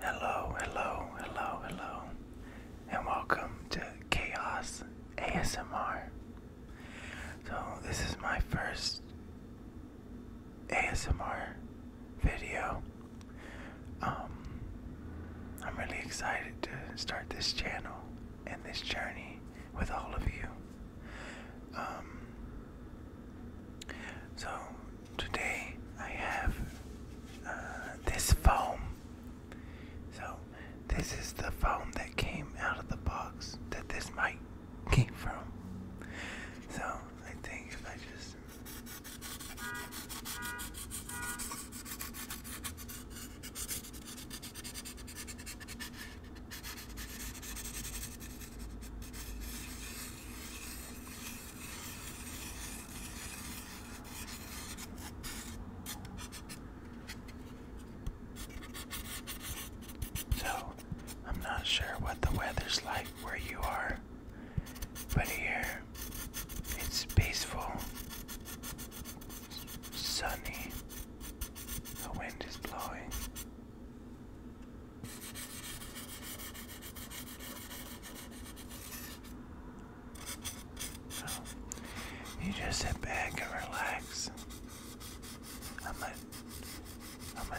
Hello, hello, hello, hello, and welcome to Chaos ASMR. So, this is my first ASMR video. Um, I'm really excited to start this channel and this journey with all of you. Um, so, today I have uh, this foam. So, this is the foam that came out of the box that this mic came from. So, I think if I just. So, I'm not sure what the weather's like where you are, but here it's peaceful, sunny, the wind is blowing you just sit back and relax. I'm a, I'm a,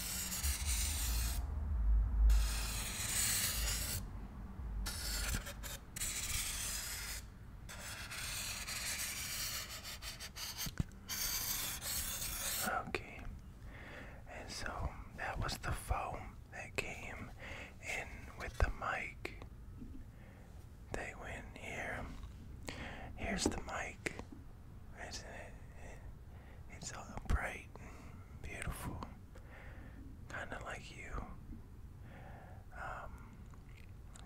Okay, and so that was the foam that came in with the mic. They went here. Here's the mic, isn't it? It's all bright and beautiful, kind of like you. Um,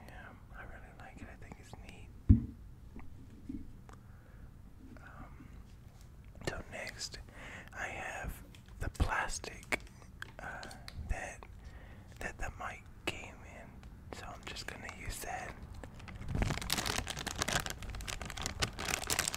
yeah, I really like it. I think it's neat. Um, so next, I have the plastic uh, that that the mic came in, so I'm just gonna use that.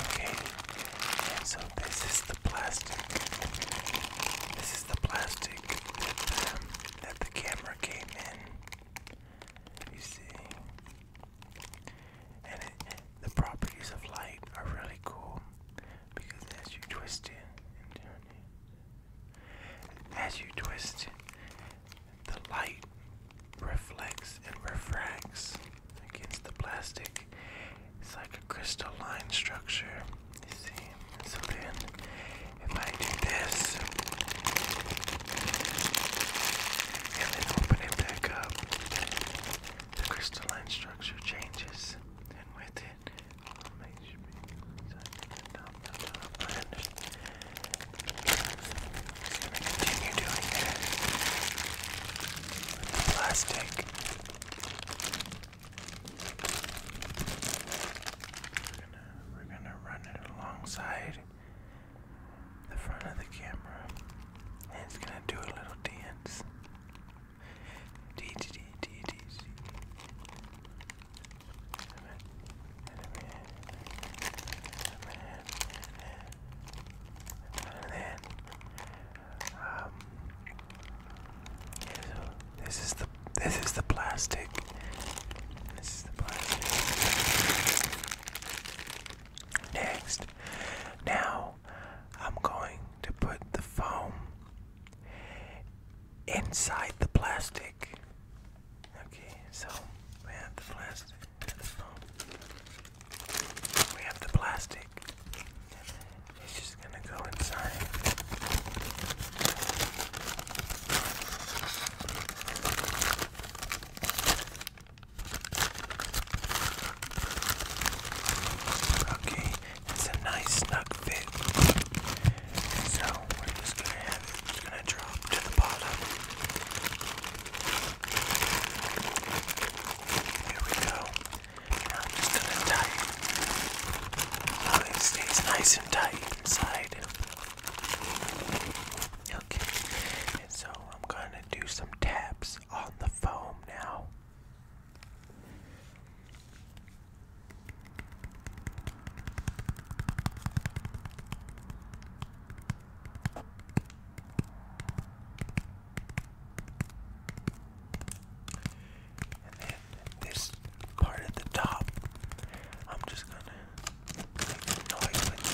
Okay, and so this is the plastic. This is the plastic that um, the camera came in. You see, and the properties of light are really cool because as you twist it and turn it, as you twist it, the light reflects and refracts against the plastic. It's like a crystalline structure, you see. And so if I do this and then open it back up, the crystalline structure changes, and with it, I'll make the top, the top continue doing that with the plastic. We're gonna, we're gonna run it alongside the front of the camera and it's gonna do a little dance. D D D D D C. And then, um, this is the this is the plastic this is the plastic. Next. Now I'm going to put the foam inside the plastic. Okay, so we have the plastic and the foam. We have the plastic. It's just gonna go inside. Okay, it's a nice snug fit. So we're just gonna have it, just gonna drop to the bottom. Here we go. Now I'm just gonna tie it. Oh, it stays nice and tight inside okay. so I'm gonna do some taps on the foam now. And then this part at the top, I'm just gonna noise like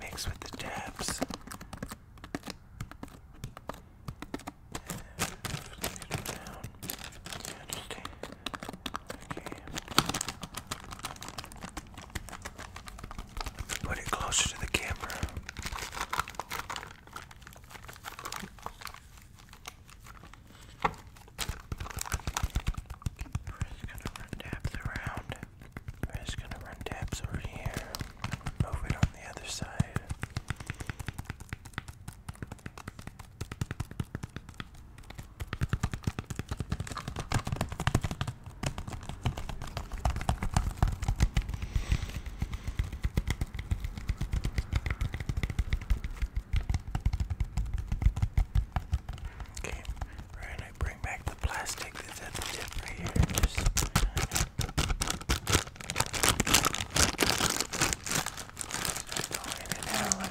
mix with the taps. Put it closer to the camera. We're just gonna run tabs around. We're just gonna run tabs over here. Move it on the other side. Okay, we're bring back the plastic that's at the tip right here. and out I'm gonna tap it on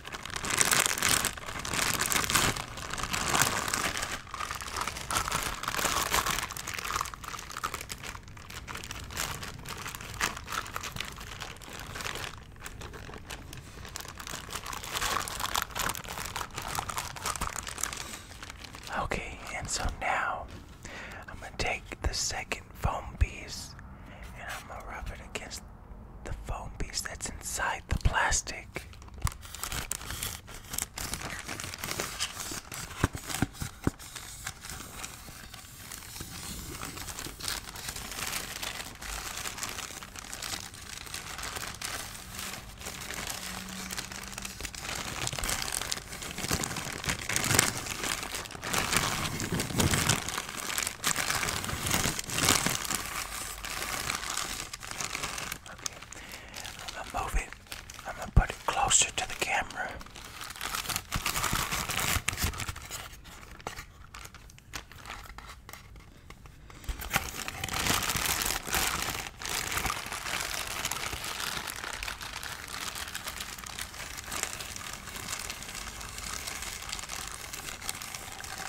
Okay, and so now I'm going to take the second foam piece and I'm going to rub it against the foam piece that's inside the plastic. Okay, I'm gonna move it. I'm gonna put it closer to the camera.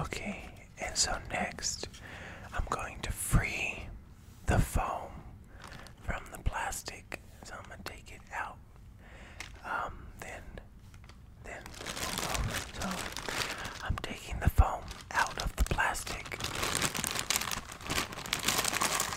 Okay, and so next I'm going to free the foam from the plastic. So I'm gonna take it out. Um, then, then so I'm taking the foam out of the plastic.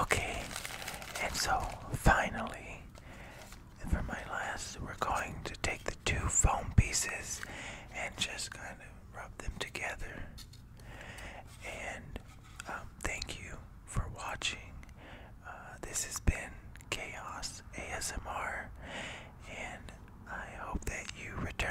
Okay, and so finally, for my last, we're going to take the two foam pieces and just kind of rub them together. And um, thank you for watching. Uh, this has been Chaos ASMR, and I hope that you return.